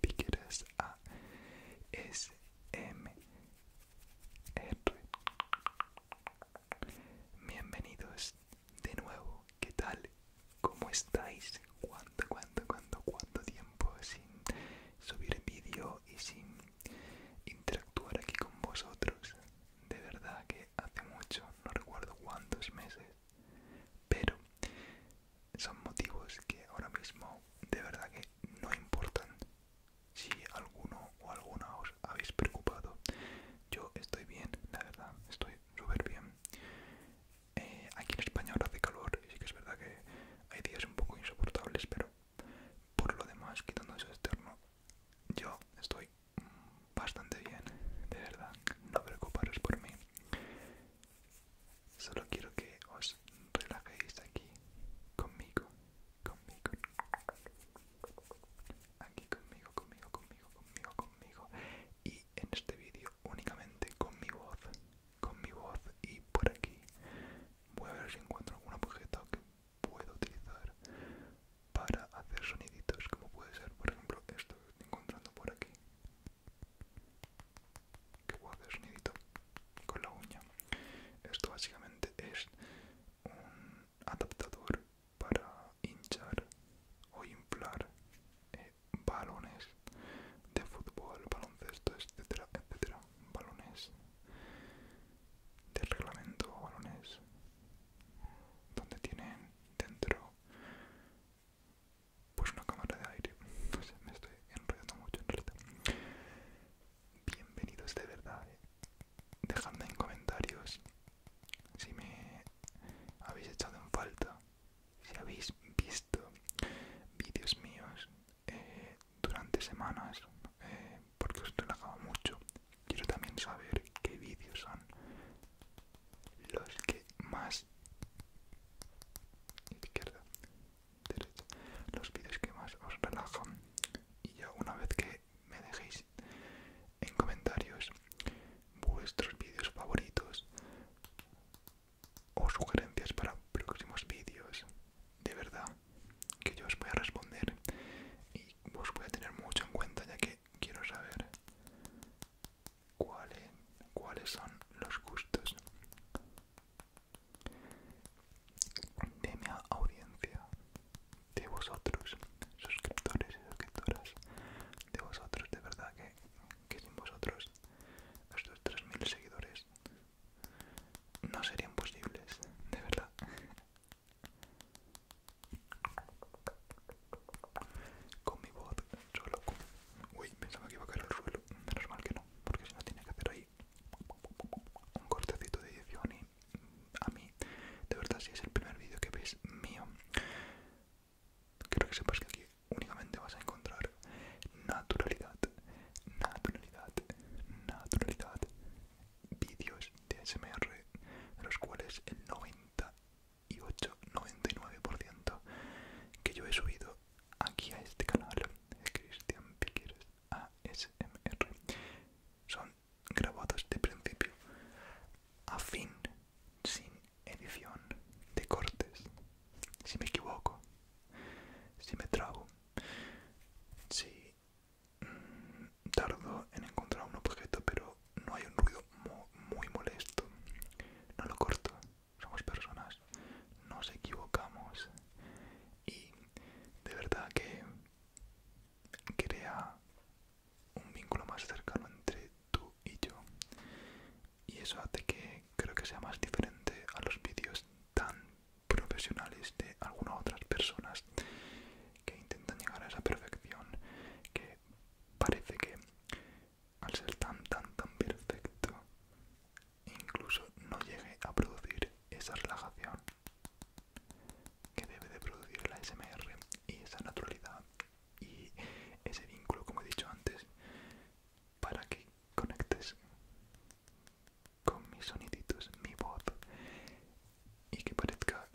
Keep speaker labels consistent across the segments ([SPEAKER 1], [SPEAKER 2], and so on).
[SPEAKER 1] Piqueras A S M R Bienvenidos de nuevo, ¿qué tal? ¿Cómo estáis? ¿Cuánto, cuánto, cuánto, cuánto tiempo sin subir vídeo y sin interactuar aquí con vosotros? De verdad que hace mucho, no recuerdo cuántos meses, pero son motivos que ahora mismo de verdad que no importan si alguno o alguna os habéis preocupado. Yo estoy bien, la verdad, estoy súper bien. Eh, aquí en España ahora hace calor y sí que es verdad que hay días un poco insoportables, pero por lo demás, quitando eso externo, yo estoy bastante bien, de verdad, no preocuparos por mí. Solo quiero que os relajéis aquí conmigo, conmigo. Aquí conmigo, conmigo, conmigo, conmigo, conmigo. Y en este vídeo únicamente con mi voz, con mi voz y por aquí. Voy a ver si encuentro algún objeto que puedo utilizar para hacer soniditos como puede ser por ejemplo esto que estoy encontrando por aquí Qué guapo sonidito con la uña. Esto básicamente es un adaptador para hinchar o inflar eh, balones de fútbol, baloncesto, etcétera, etcétera. Balones de reglamento, balones donde tienen dentro pues una cámara de aire me estoy enrollando mucho en bienvenidos de verdad eh. dejadme en comentarios si me habéis echado en falta si habéis visto vídeos míos eh, durante semanas eh, porque os relajaba mucho quiero también saber qué vídeos son los que más izquierda, derecha, los vídeos que más os relajan. Y ya una vez que me dejéis en comentarios vuestros vídeos favoritos o sugerencias para próximos vídeos, de verdad que yo os voy a responder y os voy a tener mucho en cuenta ya que quiero saber cuáles cuáles son los gustos de mi audiencia, de vosotros, suscriptores y suscriptoras, de vosotros, de verdad que, sin vosotros estos 3.000 seguidores no serían posibles, de verdad. Con mi voz solo. Uy, pensaba que iba a caer al suelo menos mal que no, porque si no tiene que hacer ahí un cortecito de edición y a mí, de verdad, si es el primer vídeo que ves mío, quiero que sepas que aquí únicamente vas a encontrar naturalidad, naturalidad, naturalidad, vídeos de SMR de los cuales el 98, 99% que yo he subido aquí a este canal es Cristian Piqueres ASMR son grabados de principio a fin sin edición de cortes si me equivoco si me trago si mm, tardo en encontrar un objeto pero no hay un ruido muy molesto no lo corto somos personas, nos equivocamos y de verdad que crea un vínculo más cercano entre tú y yo y eso hace que creo que sea más diferente a los vídeos tan profesionales de algunas otras personas que intentan llegar a esa perfección que parece que al ser tan tan tan perfecto incluso no llegue a producir esa relajación que debe de producir la SMR y esa naturalidad y ese vínculo como he dicho antes para que conectes con mis soniditos mi voz y que parezca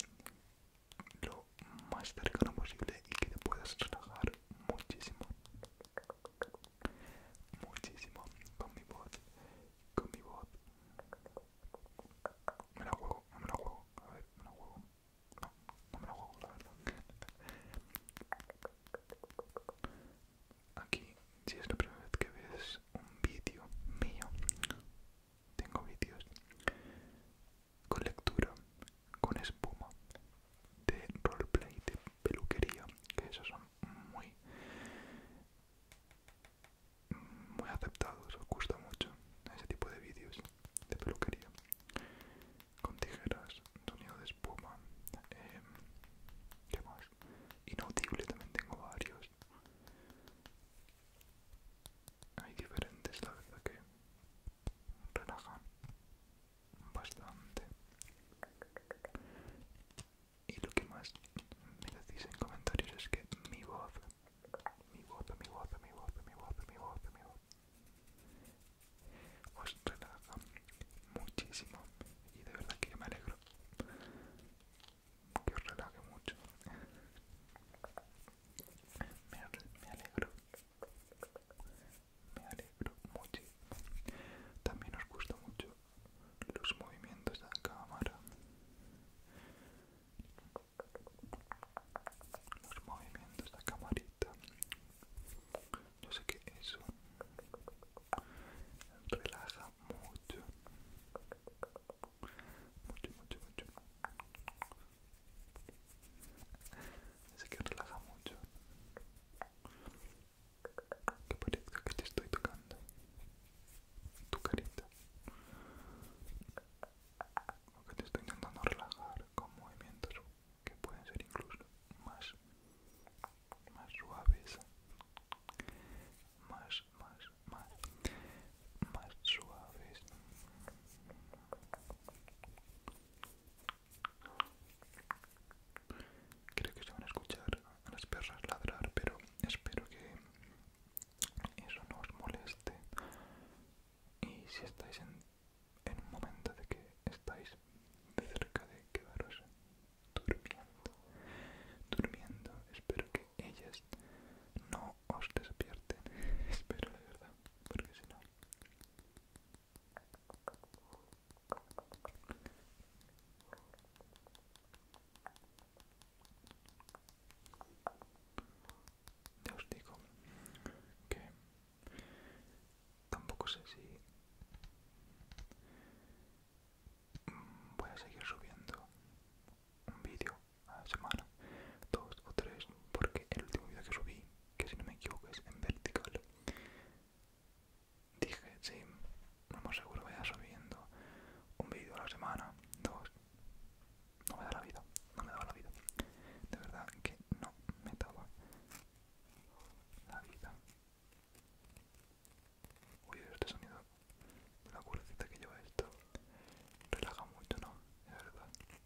[SPEAKER 1] lo más cercano posible y que te puedas relajar muchísimo muchísimo con mi voz con mi voz me la juego no me la juego a ver me la juego no no me la juego la verdad aquí si es la primera vez que ves un vídeo mío tengo vídeos con lectura, con espuma, de roleplay, de peluquería, que esos son muy, muy aceptados, os gusta mucho ese tipo de vídeos de peluquería, con tijeras, sonido de espuma, em, ¿qué más? Inaudible también tengo varios. Hay diferentes, la verdad que relajan bastante. Y lo que más me decís en comentarios es que mi voz, mi voz, mi voz, mi voz, mi voz, mi voz, mi voz, os pues relaja muchísimo y de verdad que me alegro que os relaje mucho. me alegro me alegro mucho También nos gusta mucho los movimientos de la cámara. Los movimientos de la camarita. Yo sé que eso relaja mucho. Mucho, mucho, mucho. Así que relaja mucho. Que parezca que te estoy tocando. Tu carita. que te estoy intentando relajar con movimientos que pueden ser incluso más, más suaves. Más, más, más, más suaves. Creo que se van a escuchar a las perras ladrar, pero espero que eso no os moleste. Y si estáis en, un momento de que estáis cerca de quedaros durmiendo, durmiendo, espero que ellas no os despierten. espero, la verdad, porque si no ya os digo que tampoco sé si voy a seguir subiendo un vídeo a la semana, dos o tres, porque el último vídeo que subí que si no me equivoco es en vertical. Dije, sí, no más seguro vaya subiendo un vídeo a la semana, dos. No me da la vida, no me daba la vida. De verdad que no me daba la vida. Uy, este sonido de la cuercita que lleva esto relaja mucho, ¿no? Es verdad.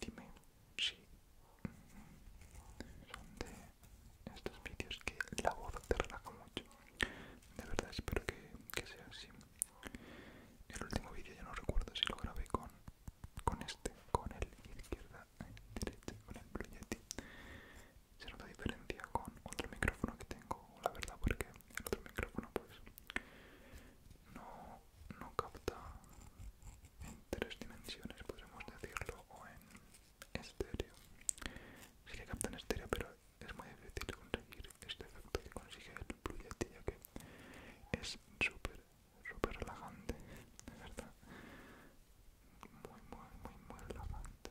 [SPEAKER 1] Dime si son de estos vídeos que la voz te relaja mucho. De verdad espero que, que sea así. El último vídeo ya no recuerdo si lo grabé con, con este, con el izquierda, el derecha, con el Blue Yeti. Se nota diferencia con otro micrófono que tengo, la verdad, porque el otro micrófono pues no, no capta en tres dimensiones, podemos decirlo, o en estéreo. Sí que capta en estéreo, pero es muy difícil conseguir este efecto que consigue el Blue ya que es súper, súper relajante, de verdad. Muy, muy, muy, muy relajante.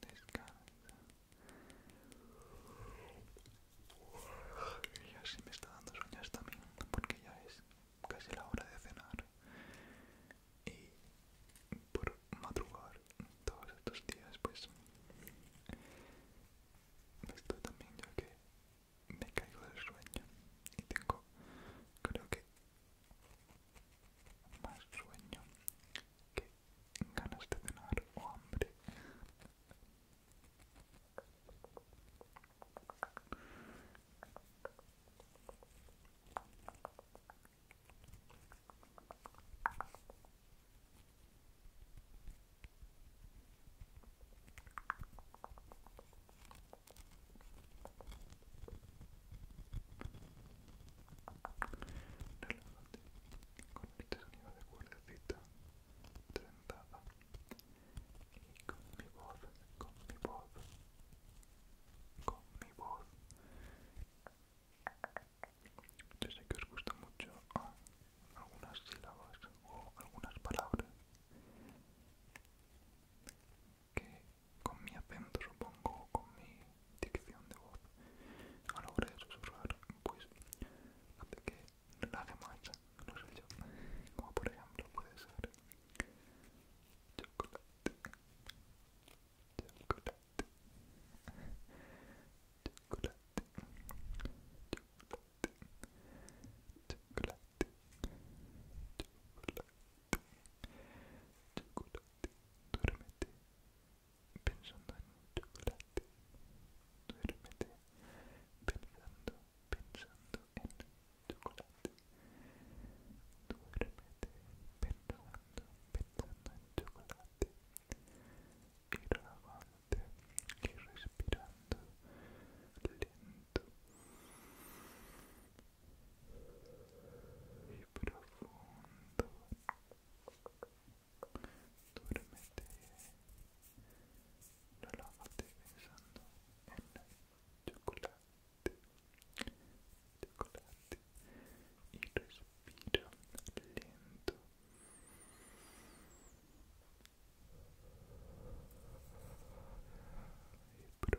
[SPEAKER 1] descansa. ya se me está dando sueños también, porque ya es casi la hora de cenar. Y por madrugar todos estos días, pues esto también yo que me caigo del sueño y tengo, creo que más sueño que ganas de cenar o hambre. Relájate con este sonido de cuerdecita trenzada y con mi voz, con mi voz, con mi voz. Yo sé que os gusta mucho algunas sílabas o algunas palabras que con mi acento supongo, con mi dicción de voz a la hora de susurrar, pues hace que relaje más no sé yo, como por ejemplo puede ser chocolate, chocolate, chocolate, chocolate, chocolate. Chocolate, chocolate, pensando en chocolate. Duérmete pensando, pensando en chocolate. Duérmete pensando, pensando en chocolate. Y relajante y respirando lento y profundo. Duérmete, relájate pensando en el chocolate, chocolate y respira lento. Y profundo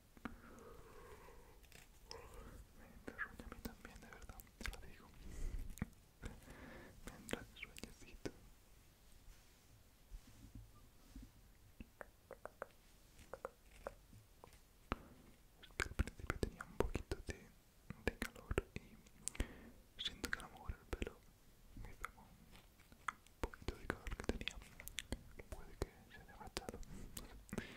[SPEAKER 1] Me sueño a mí también, de verdad, te lo digo. Me entra el al principio tenía un poquito de, calor y siento que a lo mejor el pelo me pegó un poquito de calor que tenía. Puede que que se pensando en en en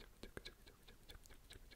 [SPEAKER 1] En en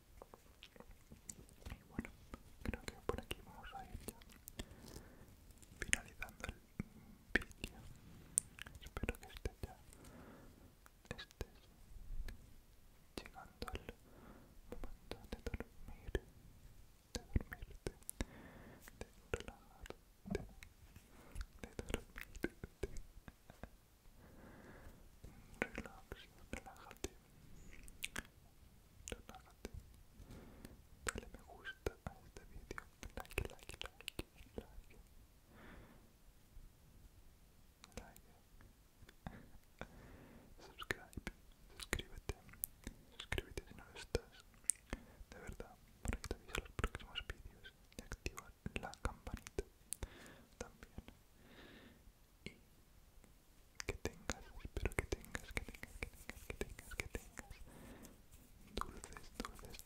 [SPEAKER 1] Y bueno, creo que por aquí vamos a ir ya finalizando el vídeo. Espero que estés ya estés llegando al momento de dormir, de dormirte, de relajarte, de dormirte. de relájate, Dale me gusta a este vídeo. Like, like, like, like. Like. Subscribe. Suscríbete. Suscríbete si no lo estás. De verdad, para que te avise los próximos vídeos y activa la campanita también que tengas, espero que tengas, que tengas, que tengas, que tengas, que dulces sueños.